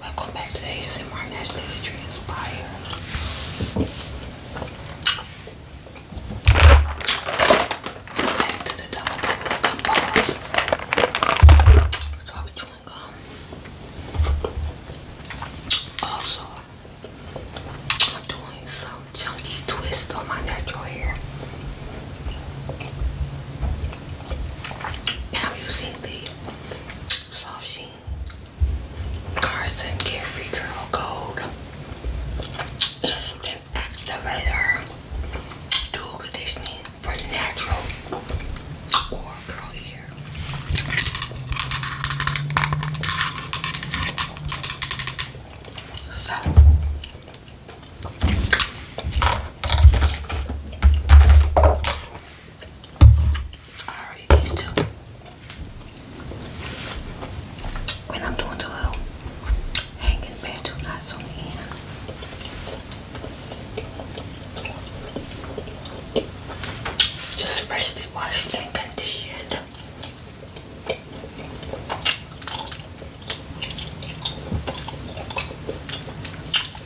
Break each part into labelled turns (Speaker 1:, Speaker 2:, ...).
Speaker 1: Welcome back to ASMR Naturally Transpired. Back to the double double balls. So I was gum. Also, I'm doing some chunky twist on my natural hair. And I'm the Soft Sheen, Carson, Carefree Girl Gold, Instant Activator, Dual Conditioning for Natural or Curl Ear. So, I already did too. And I'm doing the little hanging banjo knots on the end. Just freshly washed and conditioned.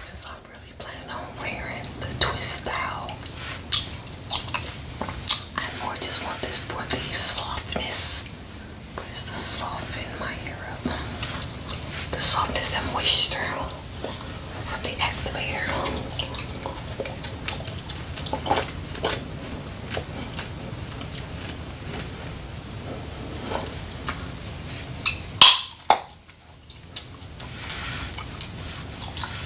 Speaker 1: Since I'm really planning on wearing the twist style I more just want this for the softness. What is the soften my hair up? The softness and moisture from the activator.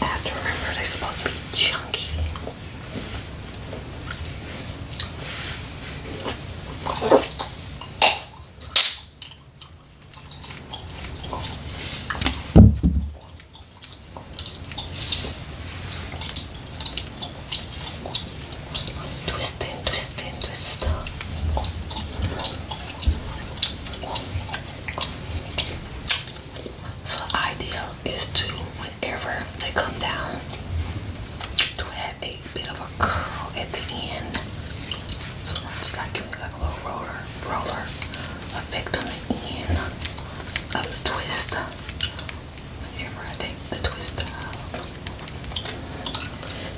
Speaker 1: I have to remember they're supposed to be chunky. Twist in, twist in, twist up. So the idea is to, whenever they come down, to have a bit of a curl at the end. So it's like giving like a little roller, roller effect on the end of the twist. Whenever I take the twist out.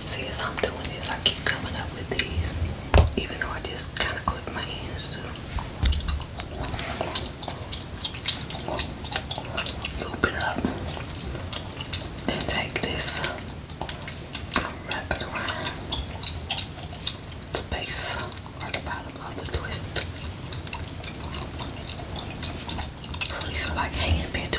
Speaker 1: See, as I'm doing this, I keep coming up with these, even though I just kind of clip my hands too. Loop it up and take this wrap it around the base or the bottom of the twist. these are like hanging pin do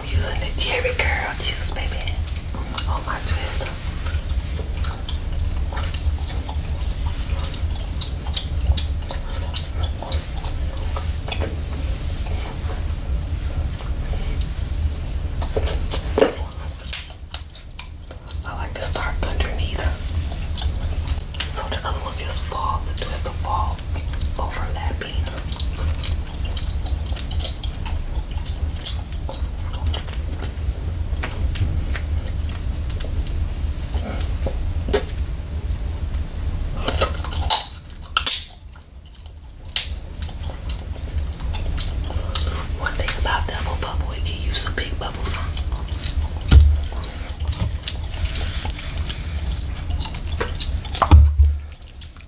Speaker 1: I'm using the Jerry Curl juice, baby, on oh, my twister. I like to start underneath so the other ones just fall, the twister fall overlapping. One thing about double bubble, it gives you some big bubbles on.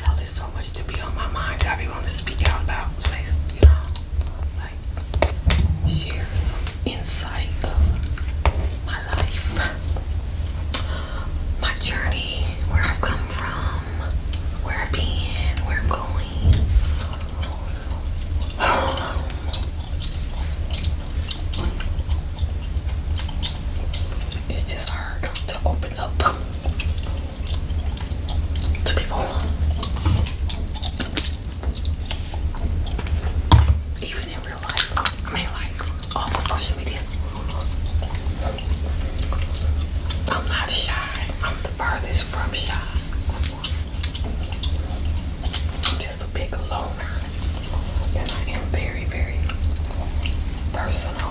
Speaker 1: Y'all, there's so much to be on my mind I be wanting to speak out about. Say, you know, like share some insight of my life, my journey, where I've come from, we're have been, where going. It's just hard to open up to people. Even in real life, I mean, like off of social media. I'm not shy. I'm the furthest from shy. I'm just a big loner. And I am very, very personal.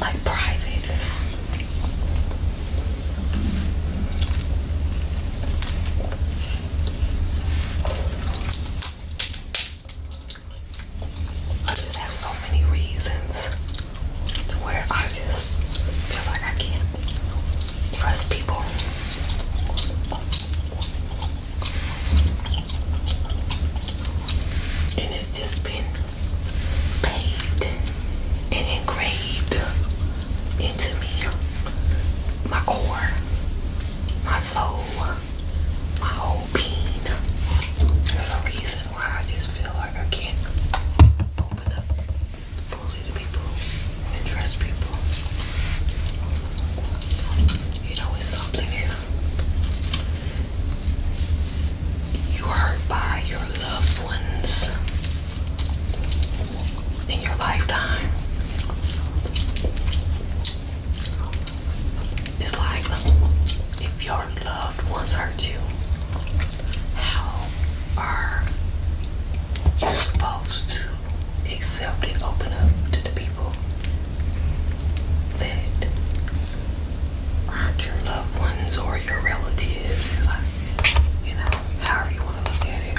Speaker 1: Like private. I just have so many reasons to where I just feel like I can't trust people. And it's just been paid and engraved into me, my core, my soul my whole bean. There's a reason why I just feel like I can't open up fully to people and people. You know, it's something if you're hurt by your loved ones in your lifetime. It's like if your loved ones hurt you, how are you supposed to accept it, open up to the people that aren't your loved ones or your relatives? You know, however you want to look at it.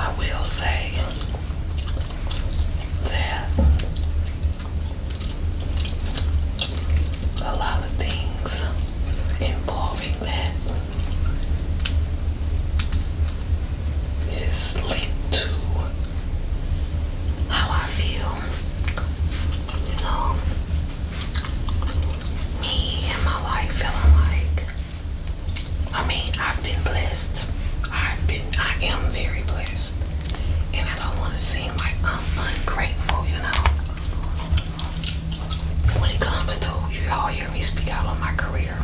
Speaker 1: I will say that a lot of things involving that is linked to how I feel you know, me and my life feeling like, I mean, I've been blessed. I've been, I am very blessed. And I don't want to seem like I'm ungrateful, you know. When it comes to, you all hear me speak out on my career.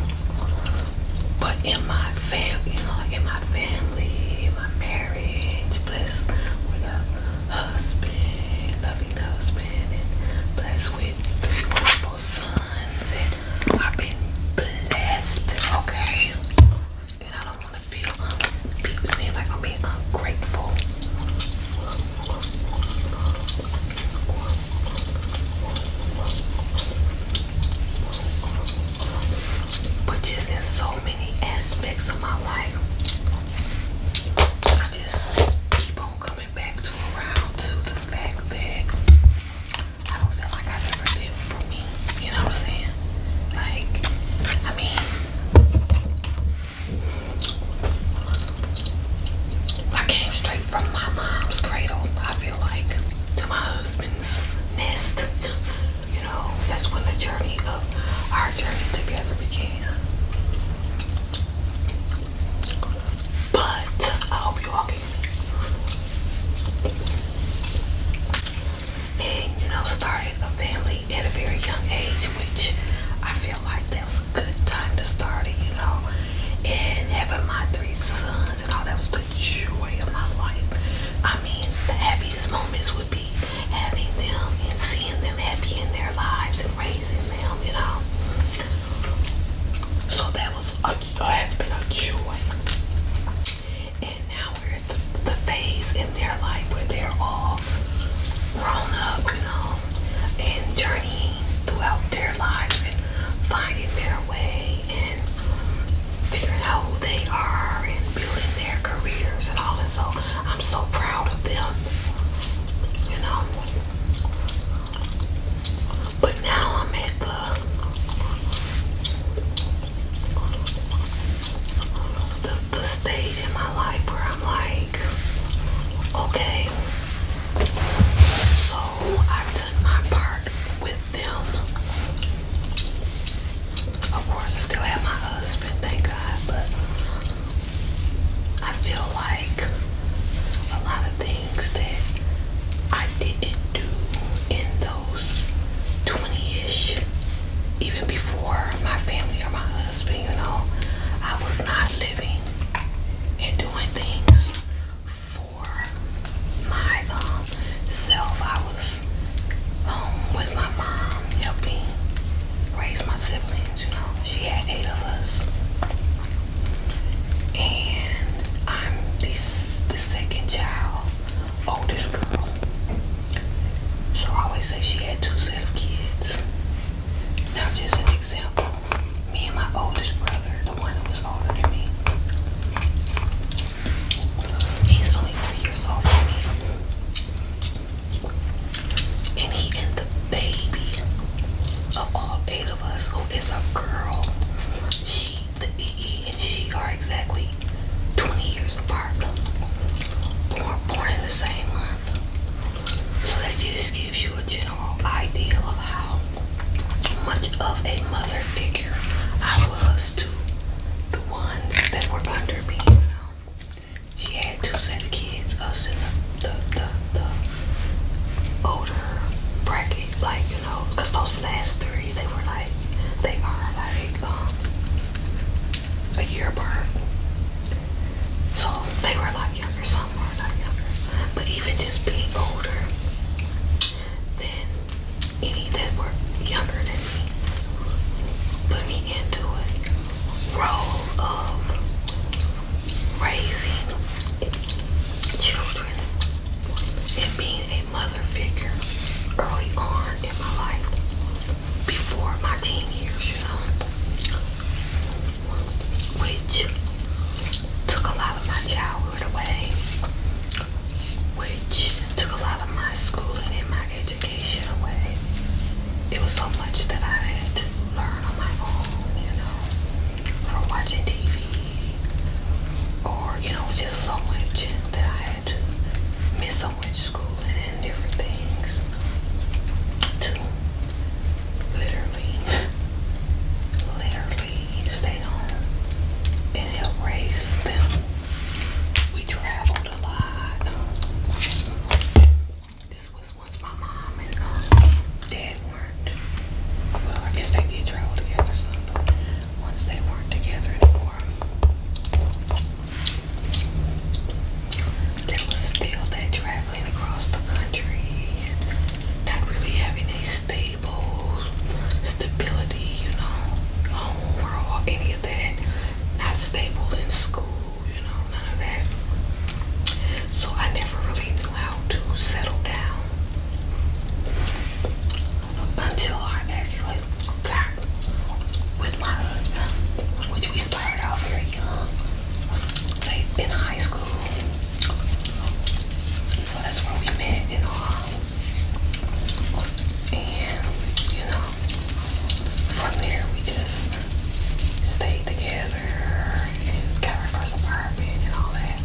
Speaker 1: But in my family, you know, in my family, in my marriage, blessed with a husband, loving husband, and blessed with three wonderful sons. And I've been blessed, okay? And I don't want to feel, seem like I'm being ungrateful. But just in so many aspects of my life. I just keep on coming back to around to the fact that I don't feel like I've ever lived for me. You know what I'm saying? Like, I mean, I came straight from my mom's cradle, I feel like, to my husband's nest. you know, that's when the journey of our journey together began. But I hope you all can. And you know, started a family at a very young age, which I feel like that was a good time to start it, you know. And having my three sons and all that was the joy of my life. I mean, the happiest moments would be happy, having them and seeing them happy in their lives and raising them, you know. So that was a, has been a joy. And now we're at the, phase in their life where they're all grown up, you know, and journeying throughout their lives and finding their way and figuring out who they are and building their careers and all this. So I'm so proud of them, you know. But now I'm at the the, stage in my life where I'm like, okay, so I've done my part with them. Of course, I still have my husband thank God, but I feel like a lot of things that I didn't do in those 20-ish, even before my family or my husband, you know, I was not living and doing things for myself. Um, I was home with my mom helping raise my siblings, you know. She had eight of us. And I'm this the second child, oldest girl. So I always say she had two set of kids. Now just an example. Me and my oldest brother, the one who was older than me. He's only three years older than me and he and the baby of all eight of us, who is a girl, she, the EE, and she are exactly 20 years apart. Born, born in the same month. So that just gives you a general idea of how much of a mother figure I was to the ones that were under me. She had two set of kids, us in the, the, the, older bracket, like, you know, because those last three, they were like, they are like um, a year apart. So they were a lot younger, some were not younger. But even just being older than any that were younger than Put me into it. Role of raising children and being a mother figure early on in my life, before my teen years, which took a lot of my childhood away, which took a lot of my schooling in my age education away. It was so much that I had to learn on my own, you know, from watching TV, or you know, it was just so much that I had to miss so much schooling and different things to literally, literally stay home and help raise them. We travel. This was once my mom and um, dad were Well, I guess they did travel together or once they weren't together anymore, there was still that traveling across the country not really having a stable stability, you know, home or any of that not stable in school, you know, none of that. So I never really knew how to settle down until I actually got with my husband, which we started out very young. late in high school. So that's where we met and all. And, you know, um, from there we just stayed together and got our first apartment and all that.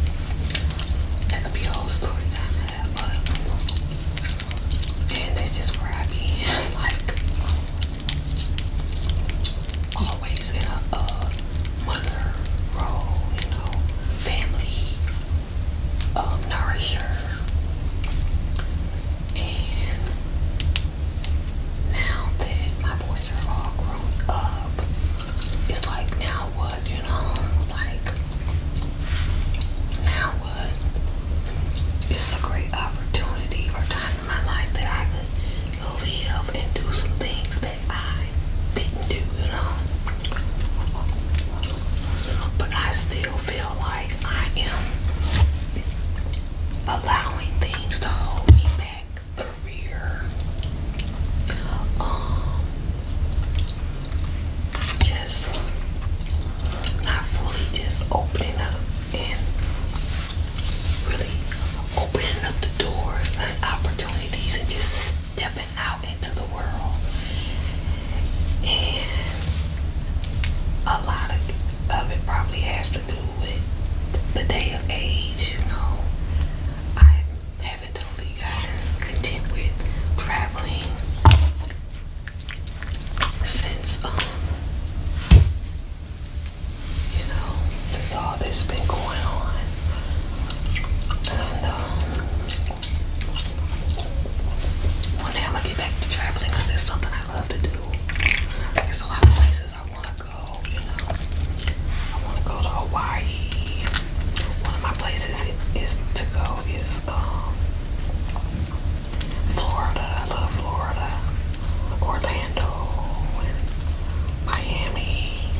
Speaker 1: That could be a whole story time of that, but and that's just where I have been, like always in a mother role, you know, family um, nourisher and now that my boys are all grown up, it's like now what, you know? Like now what? It's a great opportunity or time in my life that I could live and do some things that I didn't do, you know. But I still still feel like I am allowing things to hold me back. Career, um, just not fully just opening up and really opening up the doors and opportunities and just stepping out into the world. And a lot of of it probably has to do with the day of age, you know. I haven't totally gotten content with traveling since um you know, since all this been going on. And um one day i gonna get back to traveling because that's something I love to do. there's a lot of places I wanna go, you know. I wanna go to Hawaii. One of my places is to go is um, Florida. I love Florida. Orlando Miami.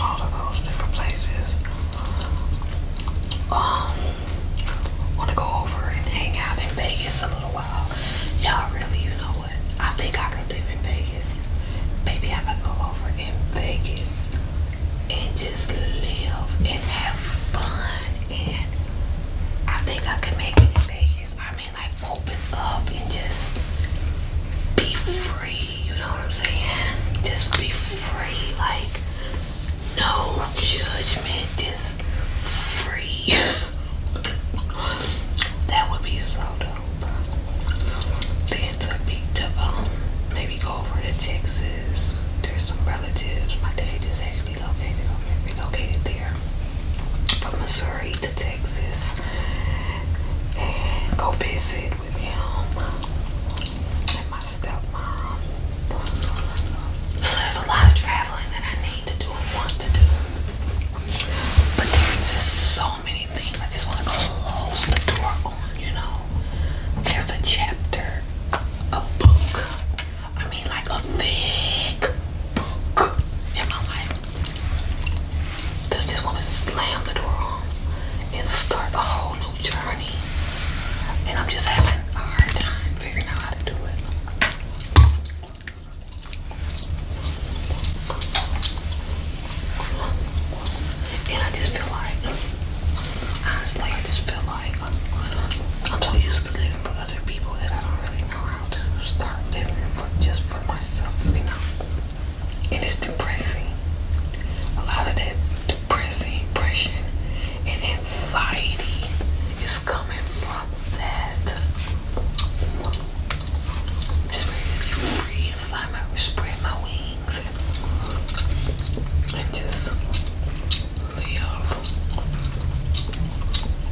Speaker 1: All of those different places. Um want to go over and hang out in Vegas a little while. Y'all really, you know what? I think I could live in Vegas. Maybe I could go over in Vegas and just live and have fun. And I think I could make it in Vegas. I mean, like open up and just be free. You know what I'm saying? Just be free. Like, no judgment. Just free. that would be so dope. Then to be to um, maybe go over to Texas. There's some relatives. My dad is actually located over there. From Missouri to Texas. And go visit with him and my stepmom. So there's a lot of travel traveling that I need to do and want to do. But there's just so many things I just want to close the door on, you know. There's a chapter, a book, I mean, like a thick book in my life that I just want to slam the door on and start a whole new journey. And I'm just having a hard time figuring out how to do it. And I just feel like, honestly, I just feel like I'm so used to living for other people that I don't really know how to start living for just for myself, you know. And it's depressing. A lot of that depressing, depression, and anxiety is coming from that I'm just ready be free and fly my way, spread my wings and, and just live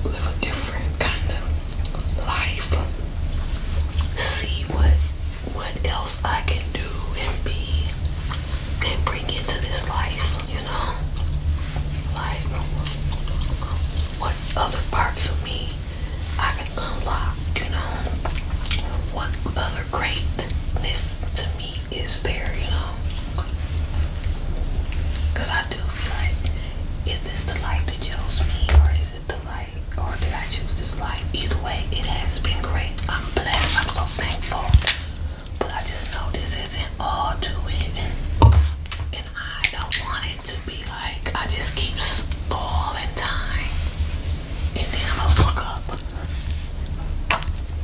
Speaker 1: live a different kind of life. See what what else I can do and be and bring into this life, you know like what other parts of me I can unlock, you know, what other greatness to me is there, you know. Cause I do be like, is this the light that chose me or is it the light or did I choose this light? Either way, it has been great. I'm blessed, I'm so thankful. But I just know this isn't all to it. And I don't want it to be like I just keep stalling time. And then I'm gonna look up.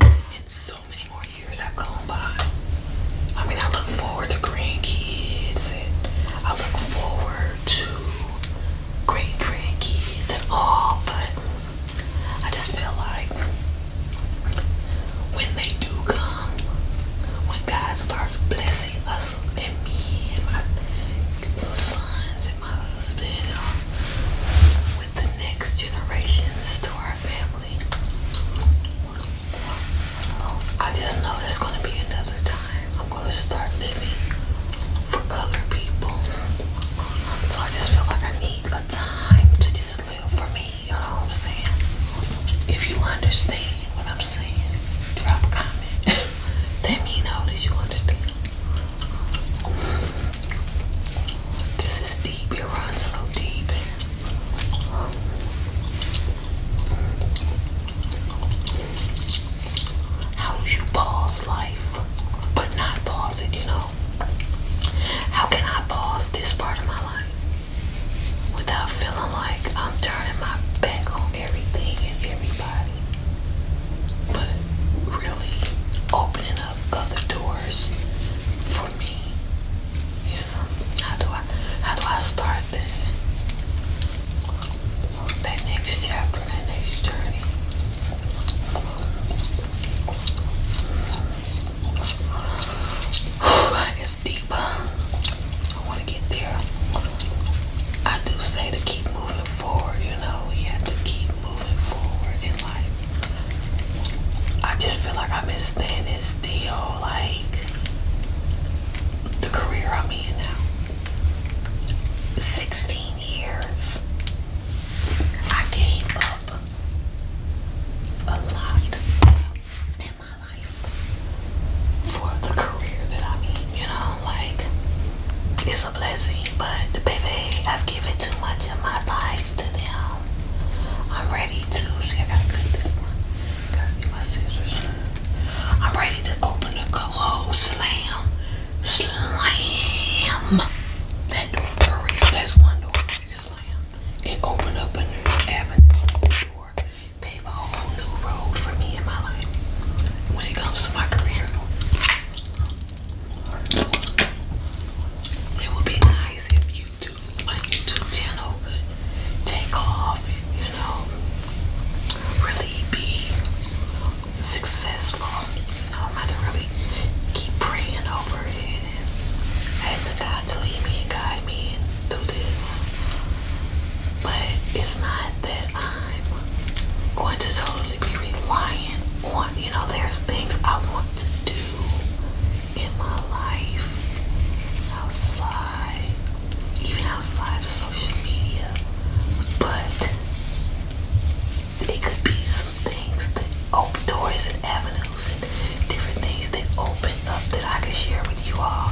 Speaker 1: And so many more years have gone by. I mean I look forward to grandkids and I look forward to great grandkids and all, but I just feel like when they do come, when God starts blessing us and me and my sons and my husband uh, with the next generations to our family, I just know there's going to be another time. I'm going to start living for other people. So I just feel like I need a time to just always for me. You know what I'm saying? If you understand what I'm saying, drop a comment. Let me know that you understand. This is deep. It runs so deep. How do you pause life but not pause it, you know? How can I pause this part of my life? without feeling like I'm turning my back on everything and everybody, but really opening up other doors for me. You know, how do I how do I start that that next chapter, that next journey? it's deeper. I want to get there. I do say to keep moving forward, you know, you have to keep moving forward in life. I just feel like I've been standing still, like the career I'm in now. 16 years. I gave up a lot my life for the career that I'm in, you know, like it's a blessing, but baby, I've given too much of my life to them. I'm ready to I gotta cut that one. I'm ready to open the close slam. Slam that door. That's one door traffic slam. It opened up a new avenue, new door, a whole new road for me in my life. When it comes to my career, it would be nice if YouTube, my YouTube channel, could take off you know, really be successful. I'm about to really keep praying over it I ask God to lead me and guide me through this. But it's not that I'm going to totally be reliant on, you know, there's things I want to do in my life outside, even outside of social media. But it could things that open doors and avenues and different things that open up that I can share with you all.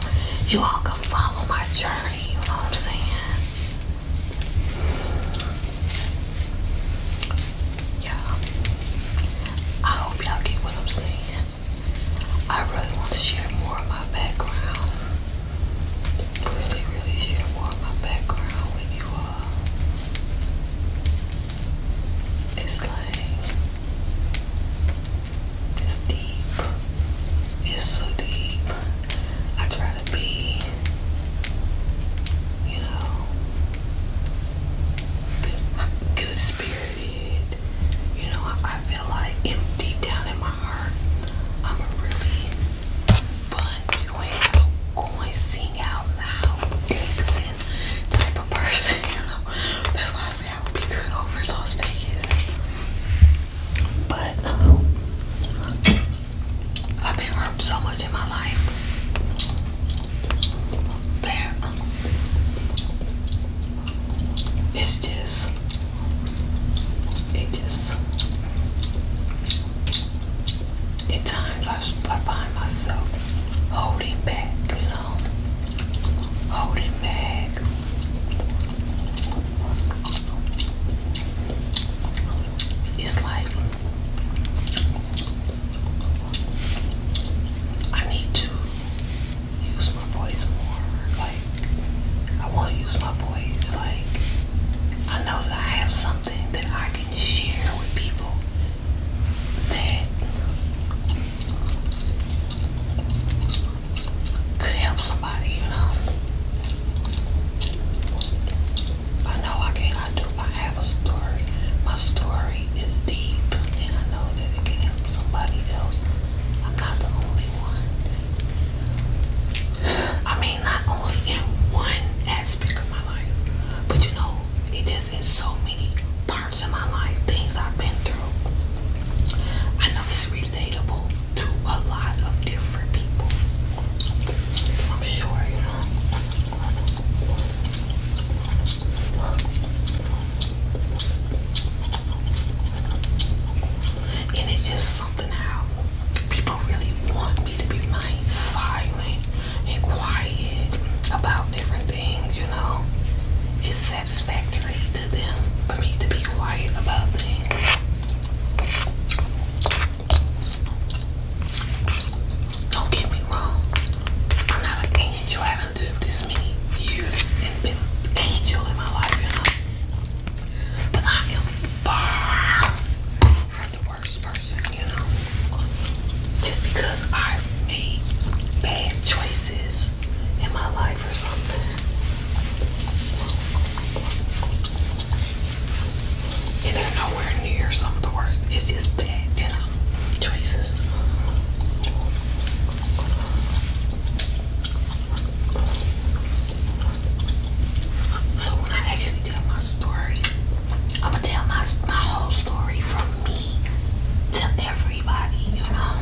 Speaker 1: You all can follow my journey, you know what I'm saying? Yeah. I hope y'all get what I'm saying. I really want to share more of my background. Really, really share more of my background with you all. It's like it's deep. It's so deep. I try to be, you know, good, good spirited. You know, I, feel like empty down in my heart. I'm a really fun doing going sing out loud dancing type of person. You know, that's why I sound be good over Las Vegas. But um, I've been hurt so much in my life that it's just, it just, at times I, I find myself holding back, hold it back. It's like I need to use my voice more. Like I want to use my voice. Like I know that I have something that I can share with people that could help somebody, you know. I know I can't do do I have a story. My story is deep and I know that it can help somebody else. I'm not the only one. I mean not only in one aspect of my life, but you know, it just in so many parts of my life, things I've been through. I know it's relatable to a lot of different people. I'm sure, you know. And it's just something how people really want me to be nice, silent, and quiet about different things, you know. It's satisfactory to them for me to be quiet about things. Don't get me wrong. I'm not an angel. I have lived this many years and been angel in my life, you know. But I am far from the worst person, you know. Just because I've made bad choices in my life or something. And they nowhere near some of the worst. It's just bad, you know, choices. So when I actually tell my story, I'm gonna tell my, my whole story from me to everybody, you know.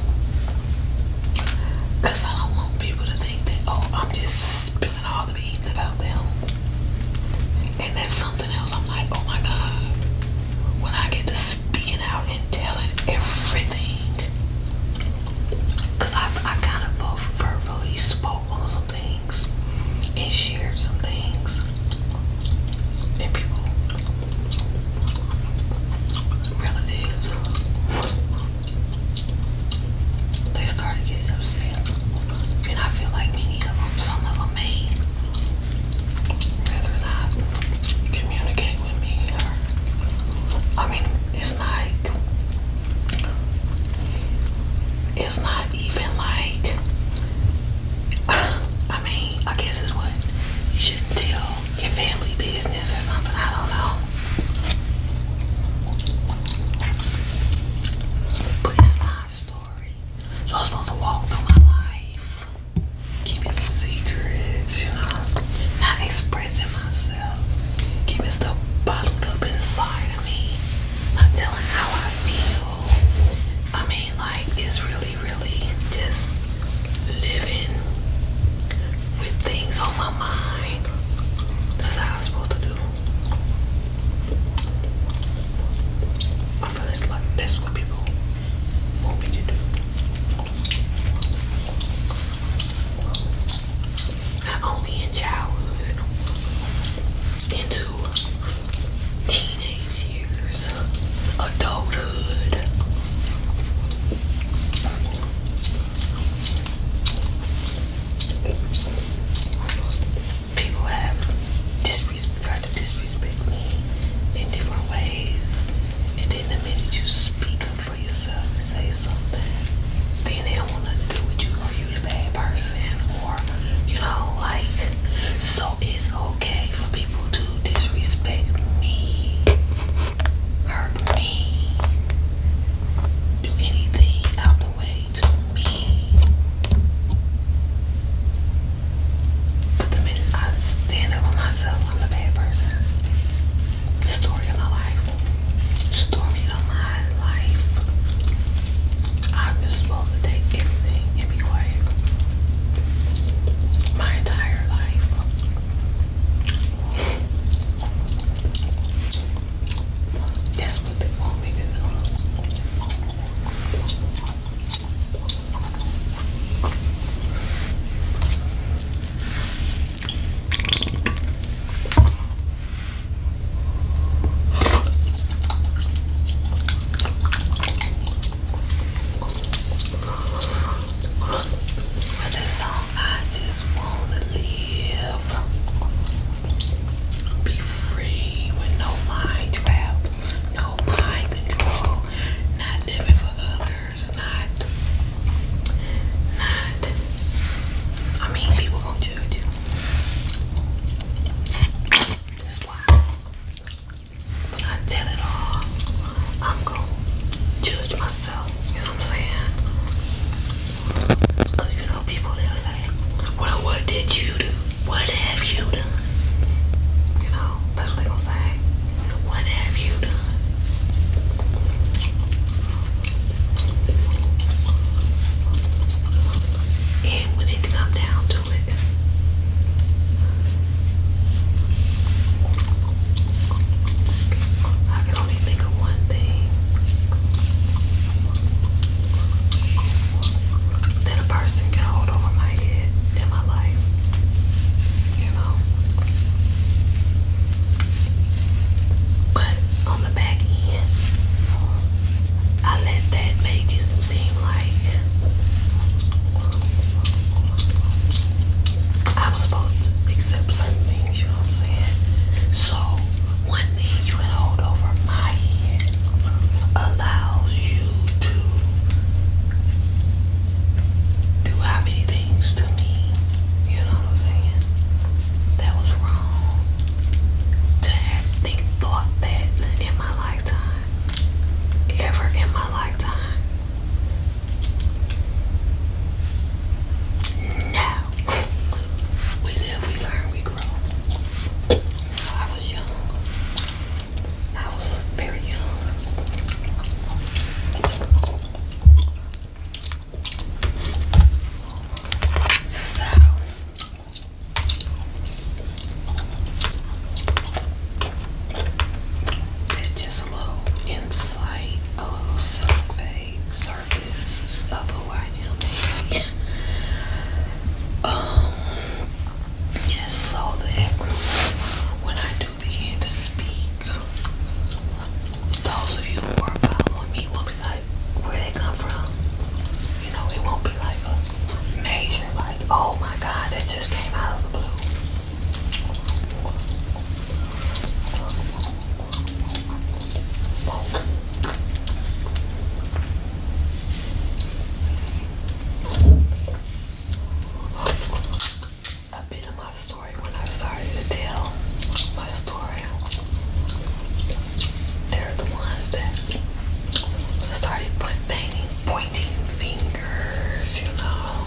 Speaker 1: I don't want people to think that, oh, I'm just spilling all the beans about them. And that's something else. I'm like, oh my God. When I get to speaking out and telling everything, I, I kind of both verbally spoke on some things and shared some things. And people relatives, they started getting upset. And I feel like many of them, some of them may rather not communicate with me I mean, it's like, it's not even like, I mean, I guess it's what you shouldn't tell your family business or something. I don't know. But it's my story. So I'm supposed to walk through my life, keeping secrets, you know, not expressing myself, keeping stuff bottled up inside of me, not telling how I feel. I mean, like, just really really, just living with things on my mind. That's how I'm supposed to do. I feel like that's what people want me to do. Not only in childhood, into teenage years, adulthood. People have tried to disrespect me in different ways, and then the minute you speak up for yourself say something, then they don't want nothing to do with you, or you the bad person, or you know, like so it's okay for people to disrespect me, hurt me, do anything out the way to me. But the minute I stand up for myself, I'm a bad person. Story of my life. Story of my life. I'm just supposed to take everything and be quiet my entire life. That's what they want me to do. What's that song? I just wanna live, be free with no mind trap, no mind control, not living for others, not, not. I mean, people gonna judge you. That's why. But until it all, I'm gonna judge myself. You know what I'm saying? you know people they'll say, Well what did you do? What have you done? You know, that's what they gonna say. What have you done? And when it come down I can only think of one thing that a person can hold over my head in my life. You know? But on the back end, I let that make it like. I was supposed to accept certain things, you know what I'm saying? So, one thing you can hold over my head allows you to do how many things to me, you know what I'm saying? That was wrong to have thought that in my lifetime, ever in my lifetime, no. We live, we learn, we grow. I was young. I was very young. So. There's just a little insight, a little survey, surface of who I am. Um, just so that when I do begin to speak, those of you who are following me won't be like, where they come from. You know, it won't be like a major, like, oh my God, that just came out of the blue. A bit of my story when I started to tell my story. They're the ones that started painting pointing, fingers, you know.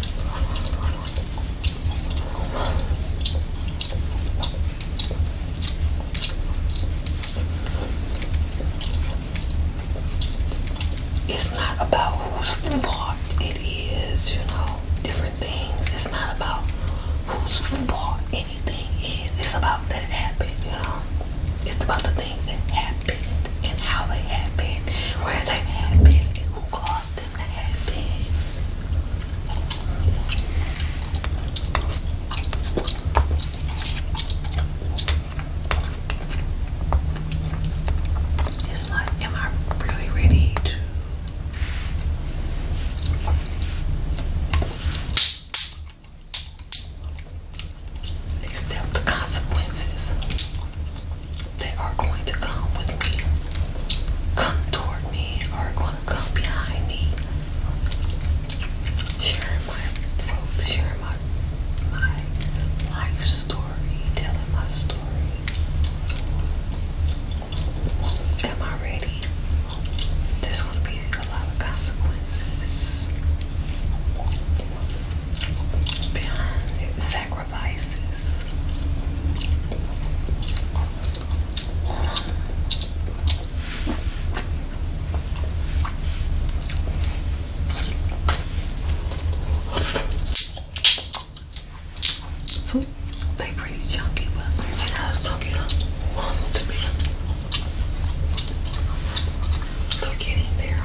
Speaker 1: It's not about whose fault it is, you know, different things. It's not about whose fault anything is. It's about that it happened, you know. It's about the things that happened and how they happened, where they happened, and who caused them to happen. It's like, am I really ready to? accept the consequences They are going to come with me, come toward me, Are going to come behind me. Sharing my my life story, telling my story. Am I ready? There's going to be a lot of consequences behind it sacrifices. So pretty chunky, but when I was talking to me, so getting there.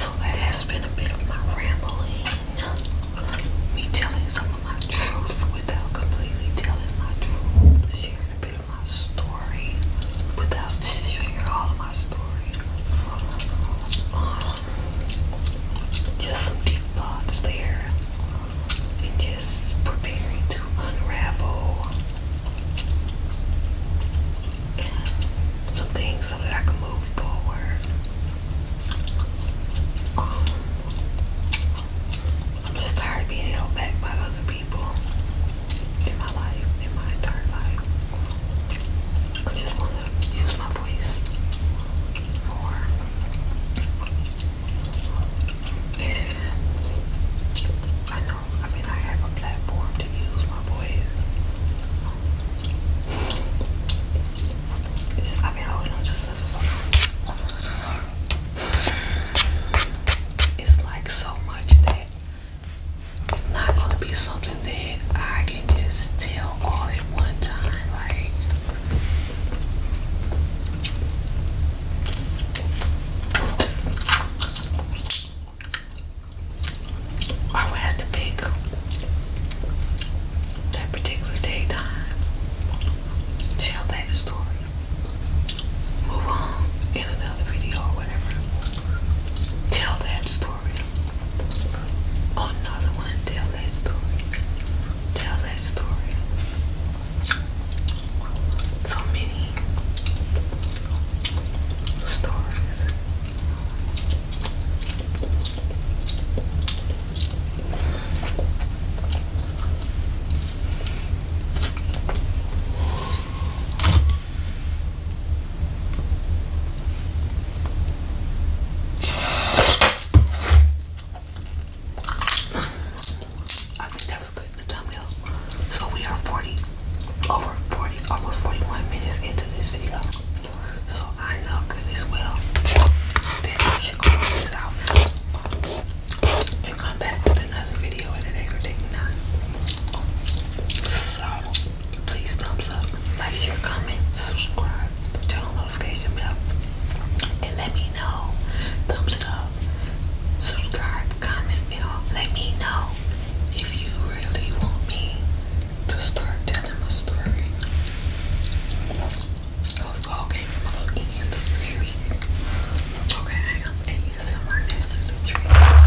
Speaker 1: So that has been a bit of my rambling. Me telling some of my truth without completely telling my truth. Sharing a bit of my story without sharing all of my story. just some deep thoughts there. And just preparing to unravel some things so that I can move forward. Um, I'm just tired of being held back by other people in my life, in my entire life. I just want to use my voice more. I mean, I have a platform to use, my boys. I've been holding on to so long. It's like so much that it's not gonna be something that I can just tell all at one time. Like, I would to pick that particular daytime, tell that story, move on in another video or whatever, tell that story, another one, tell that story, tell that story. So many stories. I think that was good in the thumbnail. So we are 40 over 40, almost 41 minutes into this video. So I know good as well that I should close this out and come back with another video at an aggravating time. So please thumbs up, like, share, comment, subscribe, turn notification bell, and let me know. Thumbs it up, subscribe, comment, you know, let me know if you really want me to start telling my story. okay, my little ears very okay. next to the trees.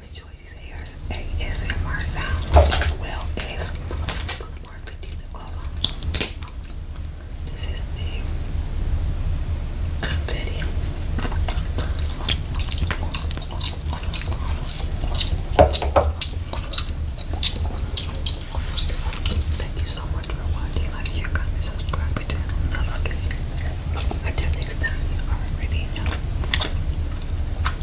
Speaker 1: have these ASMR sounds as well as more 15 Nicola. This is the confetti. Thank you so much for watching. Like, share, comment, subscribe, and Until next time, you already know.